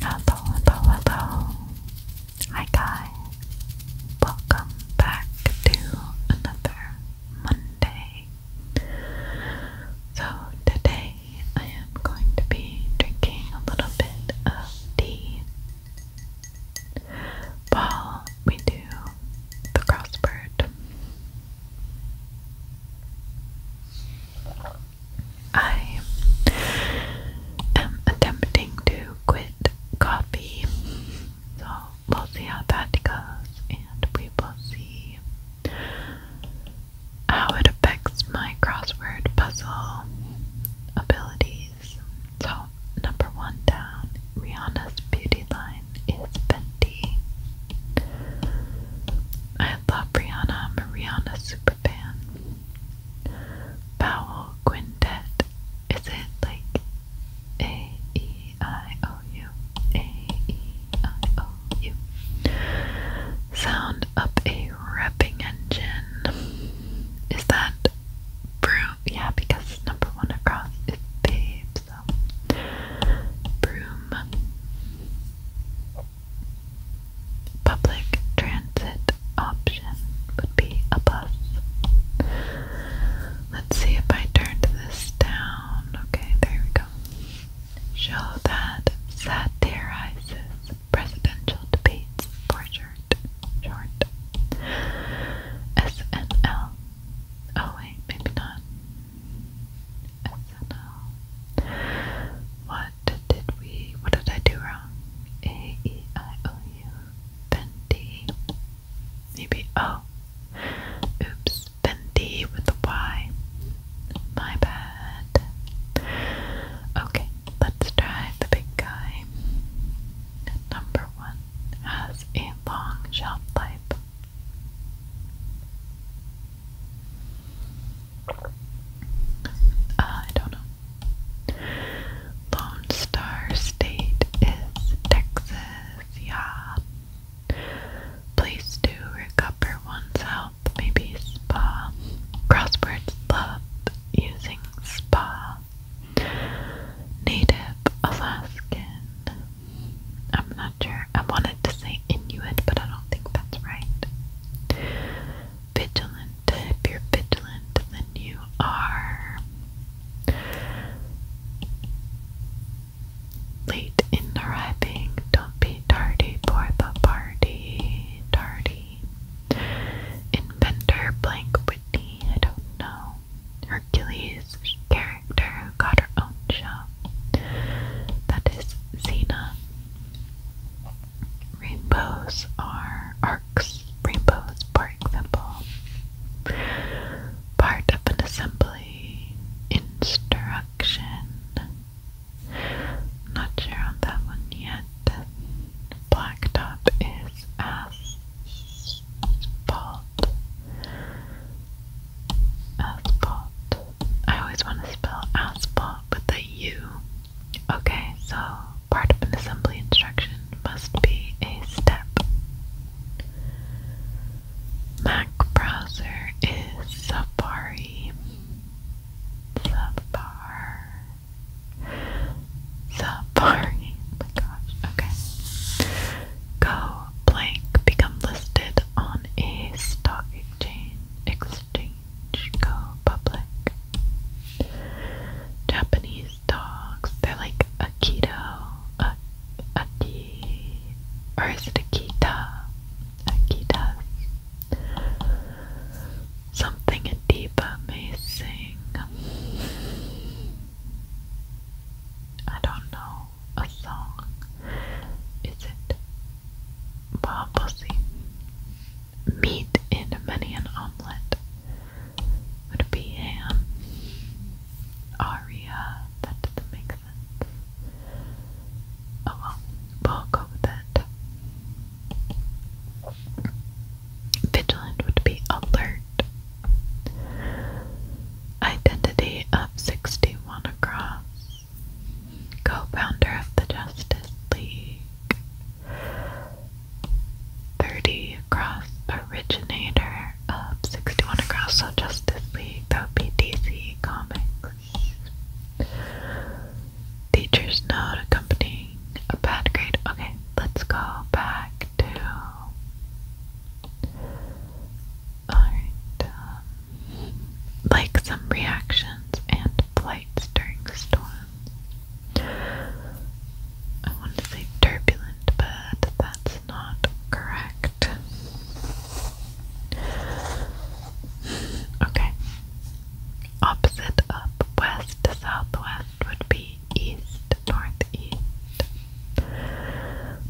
Hello, hello, hello. Hi, guys. Welcome back to another Monday. So, today I am going to be drinking a little bit of tea while we do the crossword. I am attempting to quit coffee, so we'll see how that goes, and we will see how it affects my crossword puzzle abilities. So, number one down, Rihanna's beauty line is Fenty. I love Brianna I'm a Rihanna Powell Quintet. Is it like A E I O U? A E I O U. Sound up a repping engine. Is that broom? Yeah, because number one across is babe, so broom public transit option would be a bus. Let's see if I turned this down. Okay, there we go. Show that satirizes presidential debates short. Short. SNL. Oh wait, maybe not. SNL. What did we, what did I do wrong? A, E, I, O, U, Fendi. Maybe O. Oh. Oops, Fendi with a Y. My bad. Okay, let's try the big guy. Number one has a long shelf life. Uh, I don't know. Lone Star State is Texas, yeah. Place to recover one's health, maybe spa. Crosswords love using spa. Native Alaskan. I'm not sure I wanted to say Inuit, but I don't think that's right. Vigilant. If you're vigilant, then you are late in arriving. Don't be tardy for the party. Tardy. Inventor blank Whitney, I don't know. Hercules character who got her own show. That is Zena. Rainbows are arcs. Rainbows, for example, part of an assembly instruction. Not sure on that one yet. Blacktop is asphalt. Aspot. I always want to spell aspot with a U. Okay, so part of an assembly instruction must be a step. Mac browser is Safari. Safari. Safari. Oh my gosh. Okay. Go blank become listed on a stock exchange go public. Japanese dogs, they're like Akito, a, Aki, or is it Akita? Akita. Something in Deepa may sing. I don't know a song. Is it bob Meat in many an omelette. Would be ham? Aria, that doesn't make sense. Oh well, we'll go with that. Vigilant would be alert. Identity of 61 across co-founder of the Justice League, 30 across, originator of 61 across, so Justice League, DC Comics. Teachers note accompanying a bad grade. Okay, let's go back to um, like some reactions and plights during storms. I want to say turbulent, but that's not correct. Okay. Opposite up, west southwest would be east, northeast.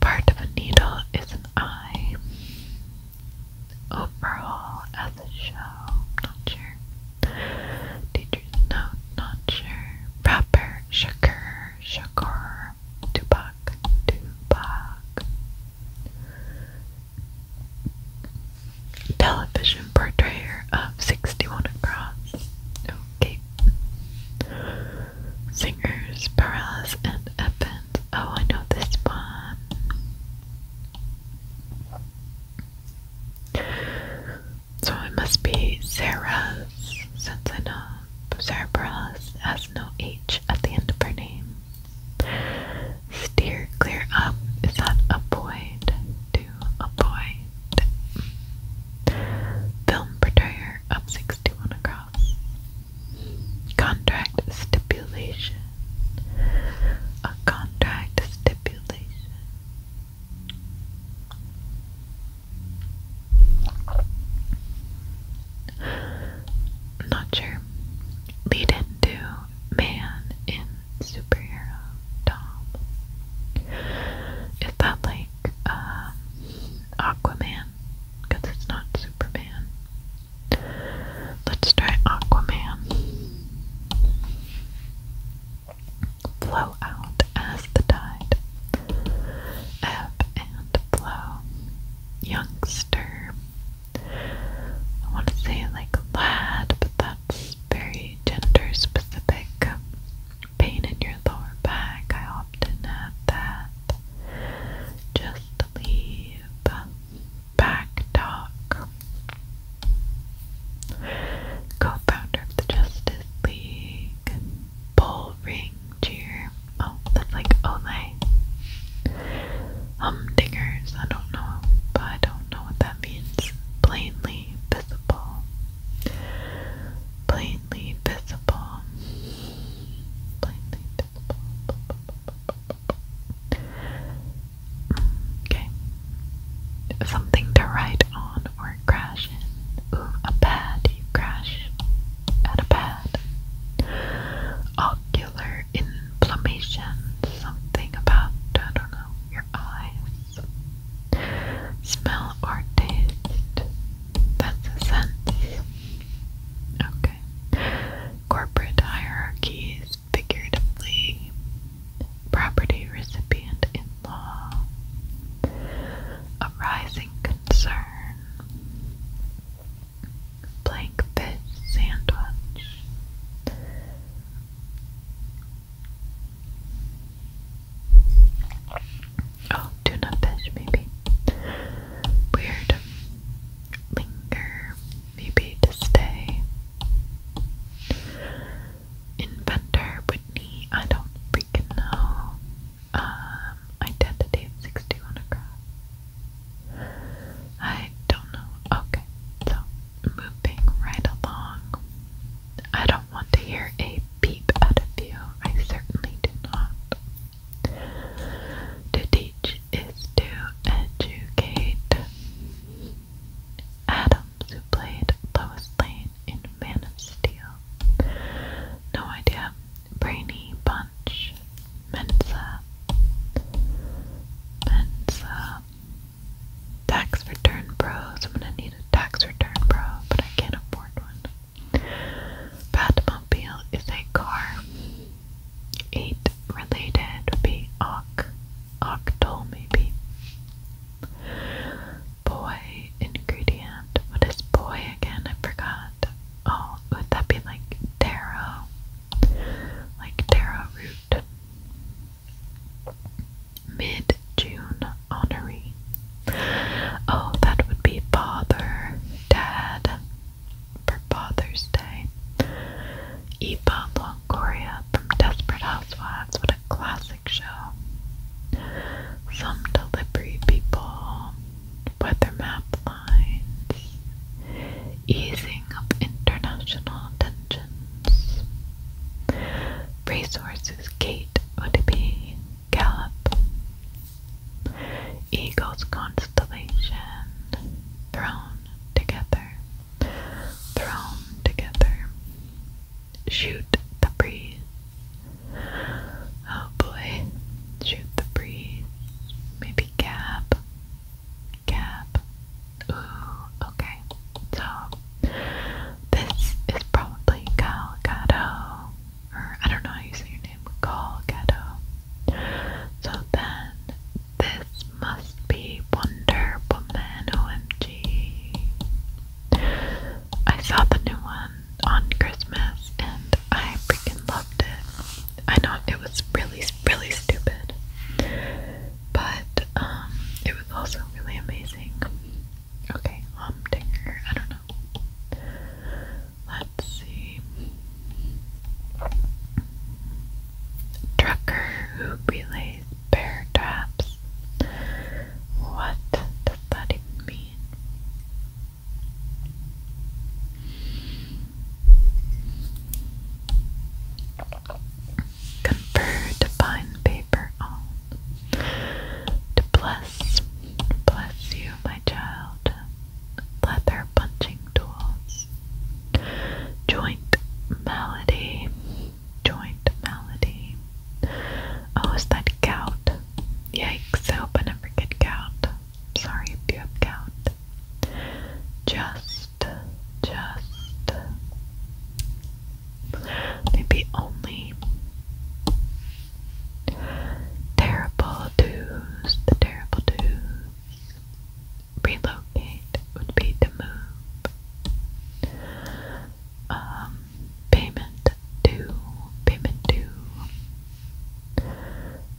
Part of a needle is an eye overall at the show. Not sure. Teacher's note. Not sure. Rapper Shakur. Shakur. Tupac. Tupac. Television portrayer of 61 across. Okay. Singers Perez that happens. Oh, I know this one. So it must be Sarah's, since I know Sarah has no H at the end of her name. Steer clear up. Is that avoid? To avoid. Film portrayer up 61 across. Contract stipulation. A contract stipulation. Not sure. Lead into man in superhero Tom. Is that like uh, Aquaman? Because it's not Superman. Let's try Aquaman. Flow out as the tide. Ebb and flow. Youngster. I want to say like lad, but that's very gender specific. Pain in your lower back. I often have that. Just just leave back Co-founder of the Justice League. Bull cheer. Oh, that's like Olay. Oh, Humdingers, I don't know, but I don't know what that means. Plainly visible. Plainly visible. Plainly Okay. Something to ride on or crash in. a pad. You crash at a pad. Ocular inflammation. Something about, I don't know, your eyes. Smell or taste. That's a sense. Okay. Corporate hierarchies, figuratively, property recipient in law, a rising concern, blank sandwich. Oh, tuna fish, maybe. Weird. Linger, maybe to stay. Inventor, Whitney, I don't freaking know. Um, identity of 61 across. I don't know. Okay, so moving right along. I don't want to hear a beep out of you. I certainly do not. To teach is to educate. Adams, who played Lois Lane in Man of Steel. No idea. Brainy Bunch. Mensa. Mensa. Tax return bros. I'm gonna need a tax return bro, but I can't afford one. Batmobile is a car. Eight related would be oc, octal maybe. Boy ingredient. What is boy again? I forgot. Oh, would that be like taro? Like taro root. Mid June honoree. Oh, that would be father dad for Father's Day. Eva Longoria from Desperate Housewives, what a classic show. Some delivery people, weather map lines, easing of international tensions. Racehorses Kate would be Gallop, Eagle's Constellation, Thrown Together, Thrown Together, Shoot the Breeze. Oh boy, Shoot the Breeze, maybe Gab, Gab. Ooh, okay, so this is probably Galgado or I don't know how you say your name, Gal So then, this must be Wonder Woman, OMG. saw the new one on Christmas and I freaking loved it. I know it was really, really stupid, but um, it was also really amazing. Okay, um, I don't know. Let's see. Trucker who relays bear traps. What does that mean? Confer to paper on. To bless, bless you, my child leather punching tools, joint malady, joint malady. Oh, is that gout? Yikes, I hope I never get gout. Sorry if you have gout. Just, just, maybe only Terrible dues, the terrible dues. Relocate would be to move. Um, payment due, payment due.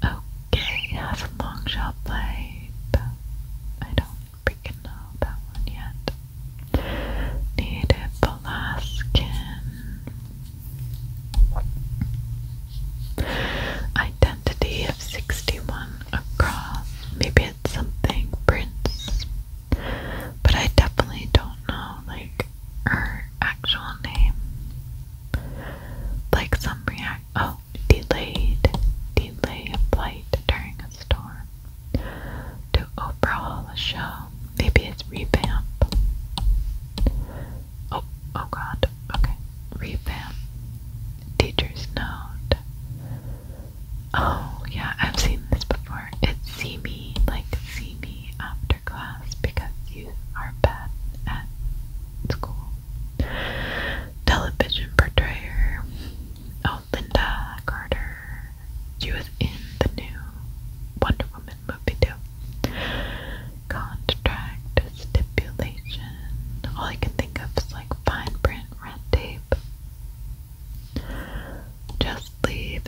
Okay, have a long shot play, I don't freaking know that one yet. Native Alaskan Identity of 61 across. Maybe it's something Prince. But I definitely don't know, like, her actual name. Like some react. Oh, delayed. Delay a flight during a storm. To overhaul a show. Maybe it's revamp. Oh, oh god. Okay. Revamp. Teacher's note. Oh, yeah, I've seen this before. It's see me, like see me after class because you are bad at school. Television portrayer. Oh, Linda Carter. She was in the new Wonder Woman Movido. Contract stipulation. All I can think of is like fine print red tape. Just leave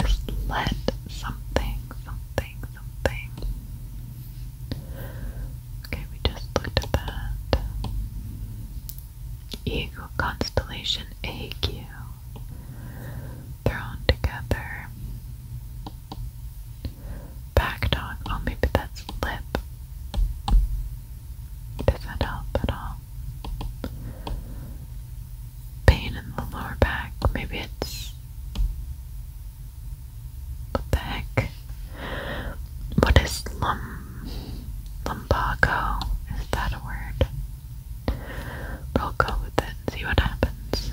let something, something, something. Okay, we just looked at that. Eagle constellation AQ thrown together. Backed on. Oh, maybe that's lip. Does that help at all? Pain in the lower back. Maybe it's. What What is lum. lumbago? Is that a word? But I'll go with it see what happens.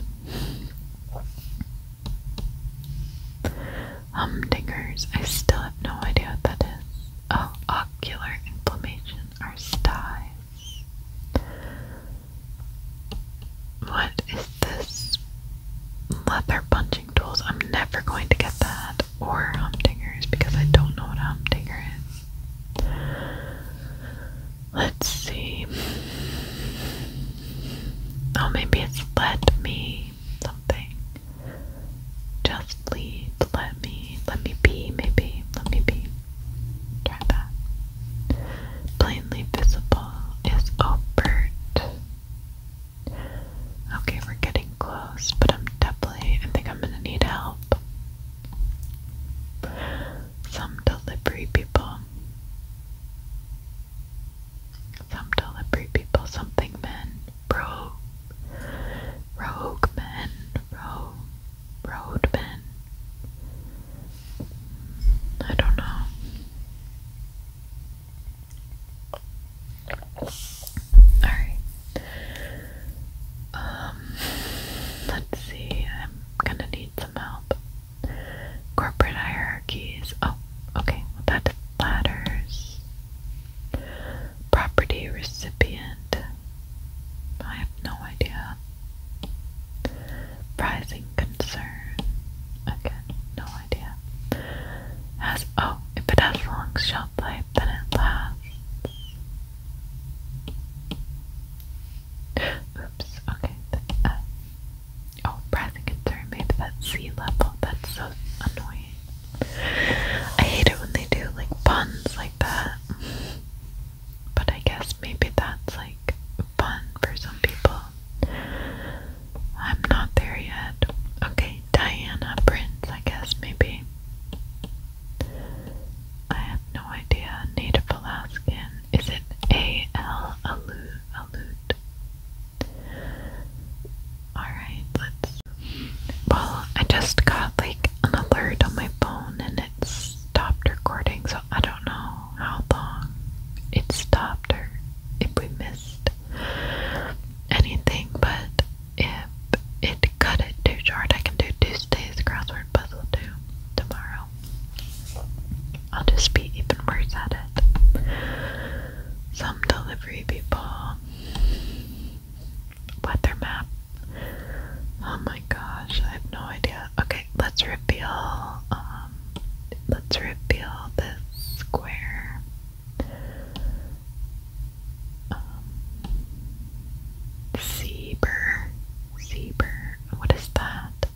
Humdingers, I still have no idea what that is. Oh, ocular inflammation or styes. What is this? Leather punching tools. I'm never going to get that. Or humdingers because I don't know what a humdinger is. Let's see. Oh, maybe it's let me something. Just lead, let me, let me be, maybe, let me be. Try that. Plainly visible is overt. Okay, we're getting close, but I'm definitely, I think I'm gonna need help. Some delivery people. Some delivery people, something men, bro, rogue men, ro, road men. I don't know. Alright. Um, let's see. I'm gonna need read help. Corporate hierarchies. Oh, okay. ladders. Property recipient. I have no idea. Rising concern. Again, no idea. Has oh, if it has long shelf life, then it lasts. Oops, okay. Uh, oh, rising concern, maybe that's sea level. That's so annoying. I hate it when they do like puns like that. But I guess maybe that's like fun for some people. I'm not there yet. Okay, Diana Prince, I guess maybe. I have no idea. Native Alaskan. Is it A L Alud? Alud. Alright, let's. Well, I just got like an alert on my phone and it stopped recording, so I don't know how long it stopped or if we missed anything, but if it cut it too short, I can do Tuesday's crossword puzzle too tomorrow. I'll just be even worse at it. Some delivery people weather map. Oh my gosh, I have no idea. Okay, let's reveal um, let's reveal this square. Um Seber. Seber. What is that?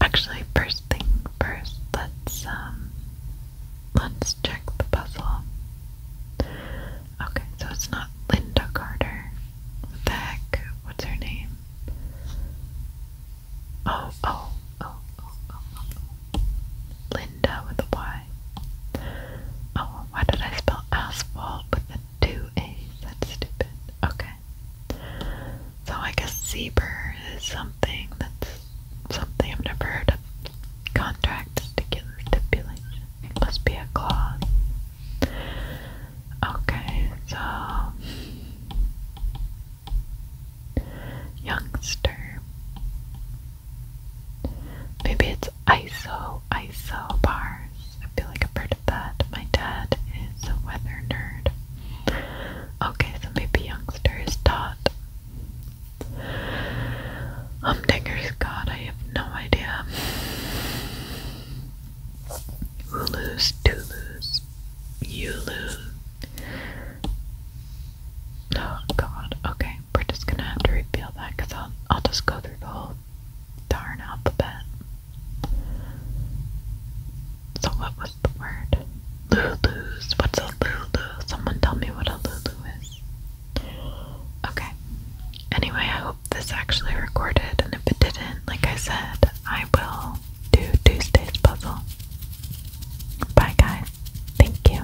Actually, first thing first, let's um, let's check the puzzle. Okay, so it's not Linda Carter. What the heck? What's her name? oh, oh, oh, oh. oh, oh. Linda with a Y. Oh, why did I spell asphalt with the two A's? That's stupid. Okay. So I guess zebra is something that's something I've never heard of. Contract stipulation. It must be a clause. Okay, so youngster. Maybe it's ISO, ISO bars. I feel like a have of that. My dad is a weather nerd. Okay, so maybe youngster is taught. Humdinger's God, I have no idea. lose? Tulu's, lose. Oh god, okay we're just gonna have to reveal that because I'll, I'll just go through the whole darn alphabet. So, what was the word? Lulu's. What's a Lulu? Someone tell me what a Lulu is. Okay. Anyway, I hope this actually recorded, and if it didn't, like I said, I will do Tuesday's puzzle. Bye, guys. Thank you.